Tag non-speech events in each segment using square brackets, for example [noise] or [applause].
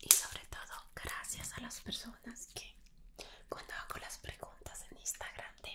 Y sobre todo, gracias a las personas que cuando hago las preguntas en Instagram de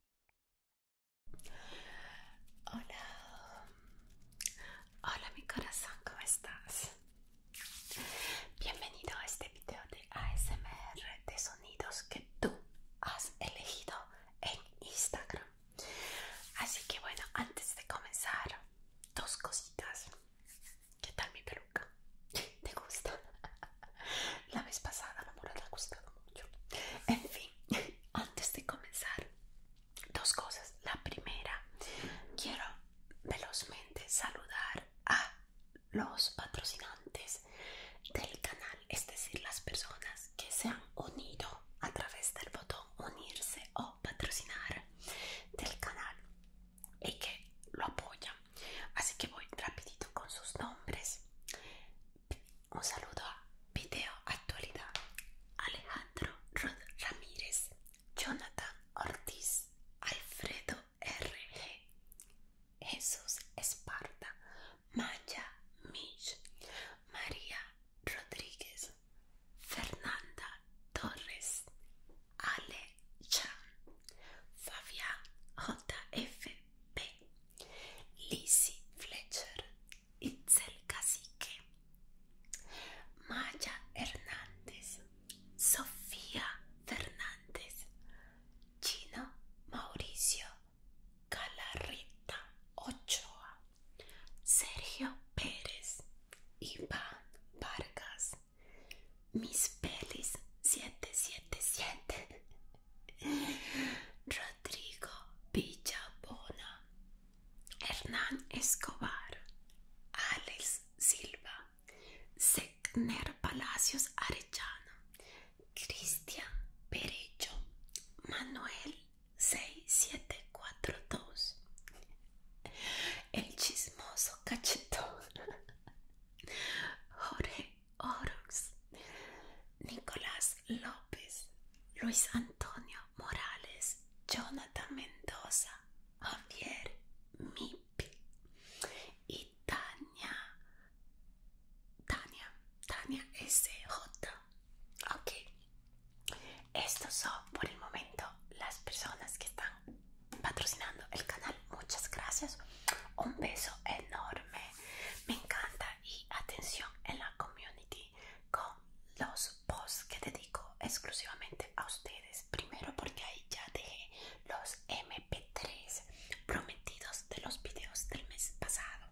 Hola, hola mi corazón, ¿cómo estás? Bienvenido a este video de ASMR de sonidos que tú has elegido en Instagram. Así que bueno, antes de comenzar, dos cositas. ¿Qué tal mi peluca? ¿Te gusta? [laughs] La vez pasada la te ha gustado mucho. En fin, [laughs] antes de comenzar, dos cosas. La primera, quiero velozmente saludar a los patrocinantes del canal, es decir, las personas que se han unido a través del botón unirse o patrocinar del canal y que lo apoyan Así que voy rapidito con sus nombres. Un saludo a Video Actualidad. Alejandro Rod Ramírez, Jonathan Ortiz, Alfredo RG, Jesús Esparta, Maya Mitch, María Rodríguez, Fernanda Torres, Ale Chan, Fabián JF, B. Fletcher, Itzel Cacique, Maya Hernández, Sofía Fernández, Chino Mauricio Calarrita Ochoa, Sergio Pérez, Iván Vargas, Miss pelis 777 [laughs] Rodrigo Villabona Hernán Escobar Alex Silva Segner Palacios Arellano Cristian Perejo, Manuel 6742 El chismoso cachetón [laughs] Jorge Orox, Nicolás López, Luis Antonio Morales, Jonathan Mendoza, Javier Mipi y Tania, Tania, Tania SJ. Ok, esto son por el momento las personas que están patrocinando el canal. Muchas gracias. Un beso enorme. Me encanta y atención en la community con los posts que dedico exclusivamente a ustedes. Primero porque ahí ya dejé los MP3 prometidos de los videos del mes pasado.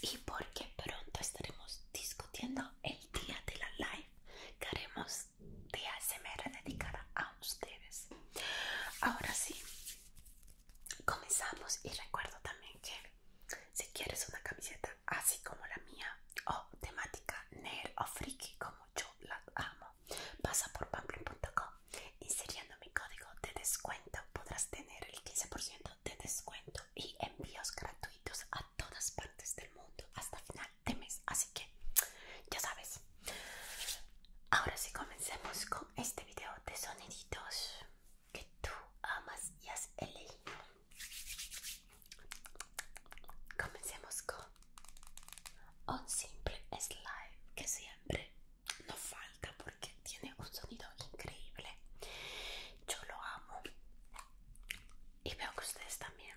Y porque pronto estaremos discutiendo el día de la live que haremos de ASMR dedicada a ustedes. Ahora sí, comenzamos y recuerdo también que si quieres una camiseta así como la mía o temática nerd o friki como yo la amo, pasa por pamplin.com inseriendo mi código de descuento podrás tener el 15% de descuento y envíos gratuitos a todas partes del mundo hasta final de mes, así que ya sabes. Ahora sí comencemos con este video de soniditos que tú amas y has elegido. Comencemos con un simple slime que siempre no falta porque tiene un sonido increíble. Yo lo amo y veo que ustedes también.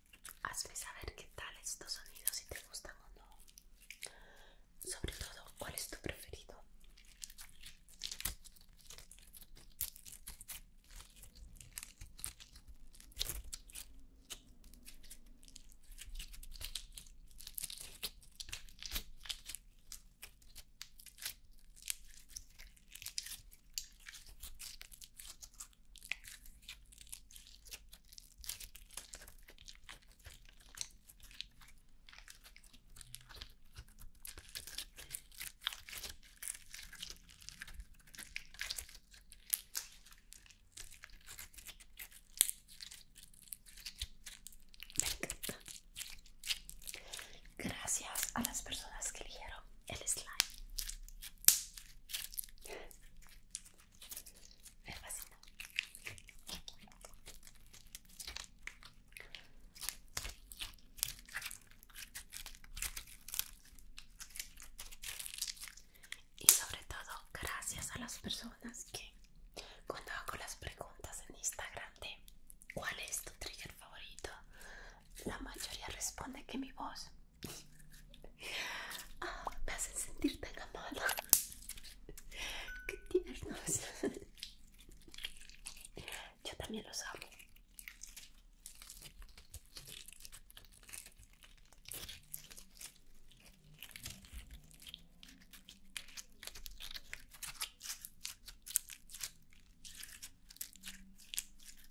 hazme saber qué tal estos sonidos, y te gustan o no. Sobre todo, ¿cuál es tu preferido? Gracias a las personas que eligieron el slime. Me Y sobre todo, gracias a las personas que cuando hago las preguntas en Instagram de cuál es tu trigger favorito, la mayoría responde que mi voz me hacen sentir tan amada. Qué tiernos. Yo también los amo.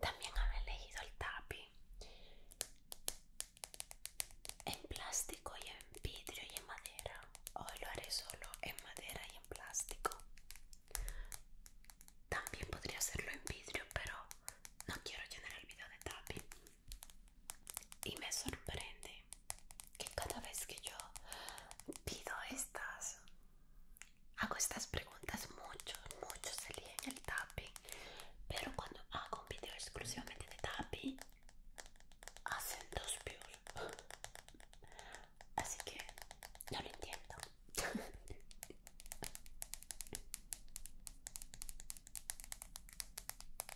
También había elegido el tapi en plástico y en vidrio y en madera. Hoy lo haré solo en madera y en plástico. También podría hacerlo en vidrio, pero no quiero llenar el video de tapi y me sorprende que cada vez que yo pido estas hago estas preguntas muchos muchos en el tapping pero cuando hago un video exclusivamente de tapping hacen dos views así que no lo entiendo [laughs]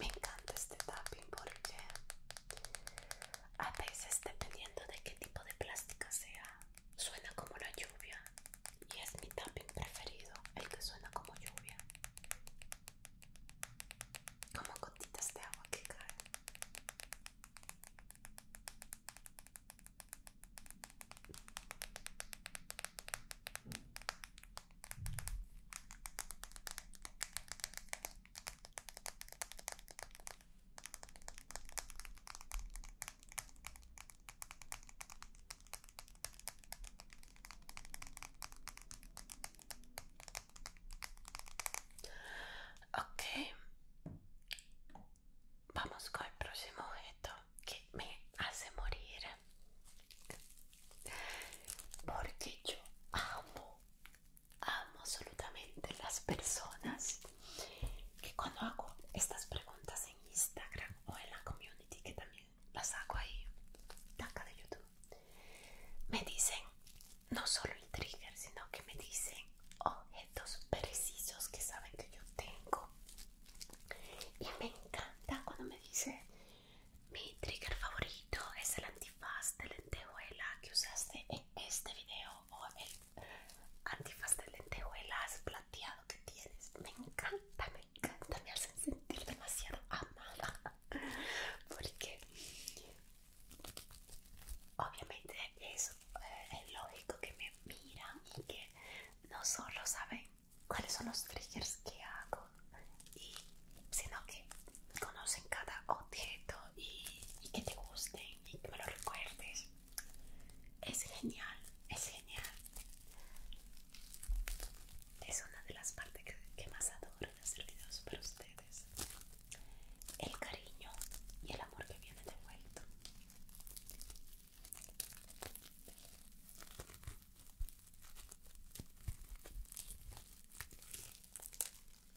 Me encanta este tapping porque a veces dependiendo de qué tipo de plástica sea, suena como la lluvia y es mi tapping preferido, el que suena como lluvia. Como gotitas de agua que caen. Ok, vamos con el próximo objeto que me hace morir. Porque yo amo amo absolutamente las personas que cuando hago estas preguntas en Instagram o en la community, que también las hago ahí, acá de YouTube, me dicen no solo el trigger, sino que me dicen objetos precisos que saben que yo tengo. Y me encanta cuando me dice mi trigger favorito es el antifaz de lentejuela que usaste en este video o el antifaz de lentejuelas plateado que tienes. Me encanta, me encanta, me hacen sentir demasiado amada. Porque obviamente es, eh, lógico que me miran y que no solo saben cuáles son los triggers que hago, sino que conocen cada objeto y, que te gusten y que me lo recuerdes. Es genial, es genial. Es una de las partes que, más adoro hacer videos para ustedes. El cariño y el amor que viene de devuelto.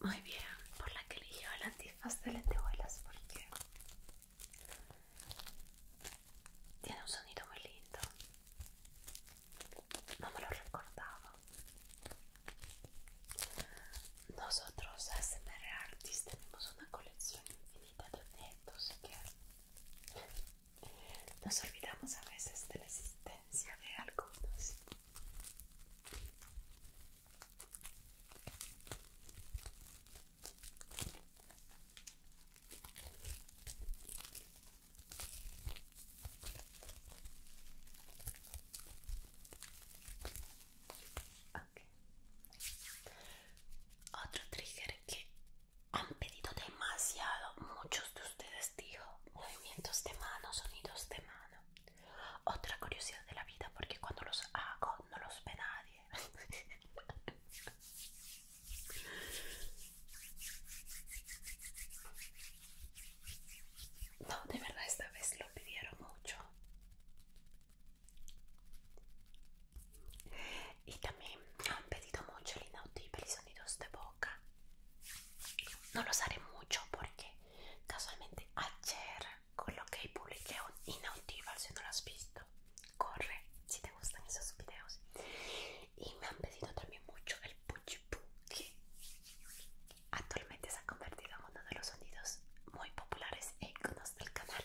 Muy bien, por la que eligió el antifaz de lentejuelas porque tiene un sonido muy lindo. No me lo recordaba. Nosotros SMR tenemos una colección infinita de objetos que nos olvidamos a veces de la existencia de algunos. Otro trigger que han pedido demasiado muchos de ustedes dijo movimientos de manos, sonidos de mano. Otra curiosidad de la vida, porque cuando los hago no los ve nadie. [laughs] No, de verdad esta vez lo pidieron mucho. Y también han pedido mucho el inaudible y sonidos de boca. No los haré mucho porque Casualmente ayer coloqué y publiqué un inaudible si no lo has visto. Corre si te gustan esos videos. Y me han pedido también mucho el puchipu que actualmente se ha convertido en uno de los sonidos muy populares e iconos del canal.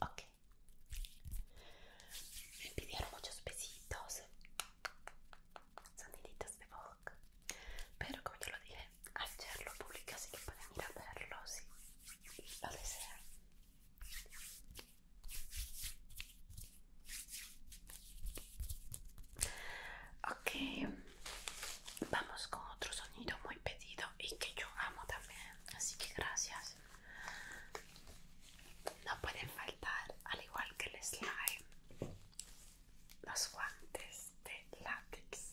Ok. Me pidieron muchos besitos, soniditos de boca. Pero como yo lo dije, ayer lo público así que pueden ir a verlo si lo desean. Ok, vamos con otro sonido muy pedido y que yo amo también. Así que gracias. No pueden faltar, al igual que el slime, los guantes de látex.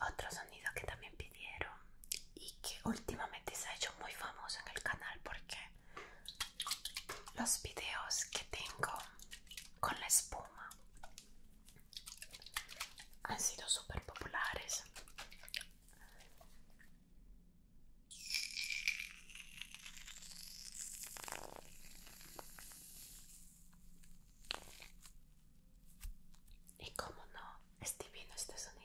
Otro sonido que también pidieron y que últimamente se ha hecho muy famoso en el canal porque los videos que tengo con la espuma han sido súper populares. Y cómo no, es divino este sonido.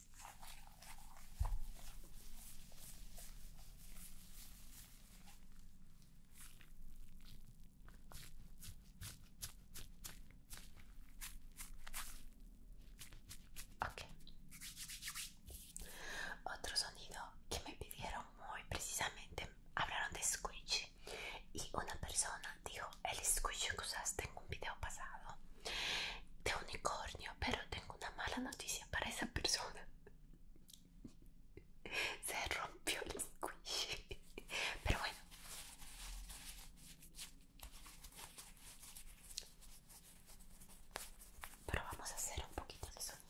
Ok. Otro sonido que me pidieron muy precisamente. Hablaron de squishy Y una persona dijo, el squishy que usaste en un video pasado de unicornio pero tengo una mala noticia para esa persona. [laughs] Se rompió el squishy. Pero bueno. Pero vamos a hacer un poquito de sonido.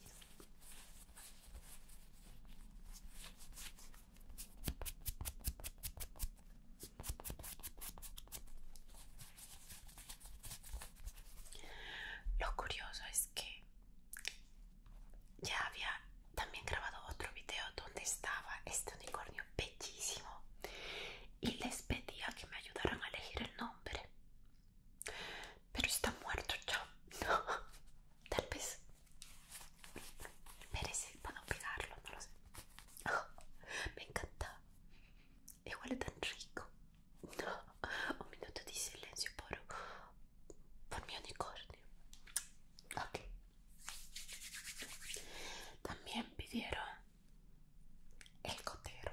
Lo curioso es que ya había también grabado otro video donde estaba este unicornio bellísimo y les pedía que me ayudaran a elegir el nombre. Pero está muerto yo. [laughs] Tal vez merece, puedo pegarlo, no lo sé. [laughs] me encanta igual es tan rico. [laughs] Un minuto de silencio por, por mi unicornio. Ok. También pidieron el gotero.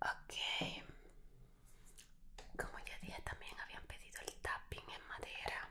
Ok, como ya dije, también habían pedido el tapping en madera.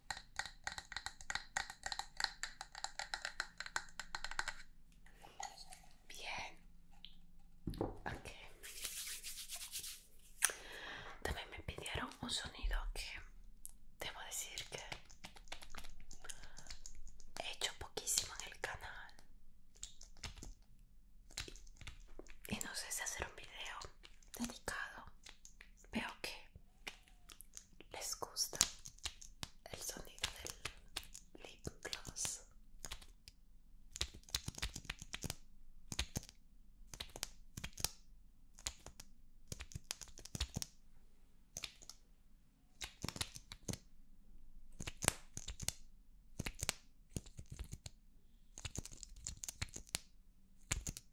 Bien. También me pidieron un sonido que debo decir que he hecho poquísimo en el canal. Y no sé si hacer un video dedicado veo que les gusta el sonido del lip gloss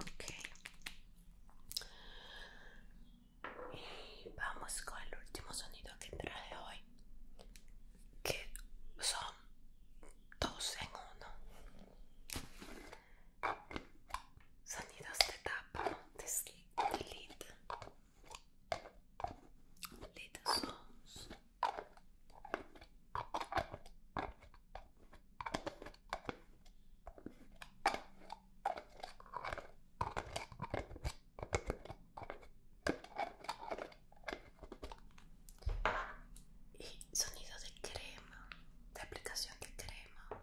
Okay. Y vamos con el último sonido que traje hoy, que son dos en uno. Sonidos de tapa, de Lita. sonido de crema, de aplicación de crema.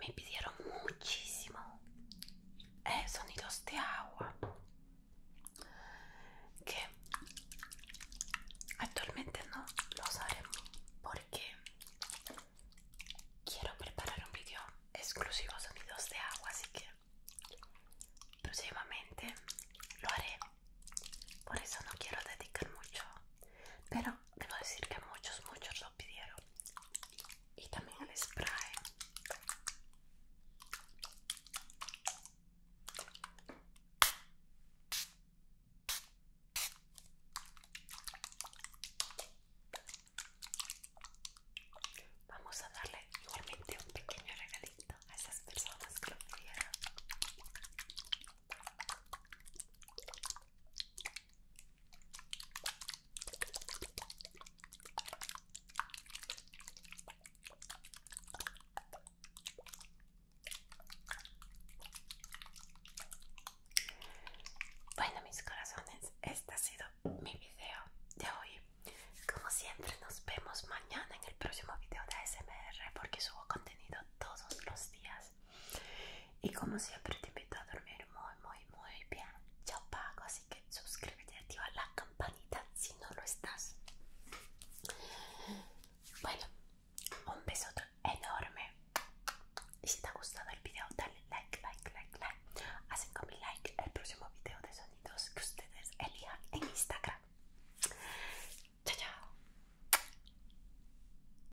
me pidieron muchísimo eh, sonidos de agua que actualmente no los haré porque quiero preparar un vídeo exclusivo sonidos de agua así que próximamente lo haré por eso no quiero dedicar mucho pero quiero decir que muchos muchos lo y también el spray Vamos a darle igualmente un pequeño regalito a esas personas que lo pidieron. Bueno mis corazones, este ha sido mi video de hoy. Como siempre nos vemos mañana en el próximo video de ASMR porque subo contenido todos los días. Y como siempre te invito a dormir muy, muy, muy bien. Ya pago, así que suscríbete y activa la campanita si no lo estás. Bueno, un besote enorme. Y si te ha gustado el video, dale like, like, like, like. Hacen con mi like el próximo video de sonidos que ustedes elijan en Instagram. Chao, chao.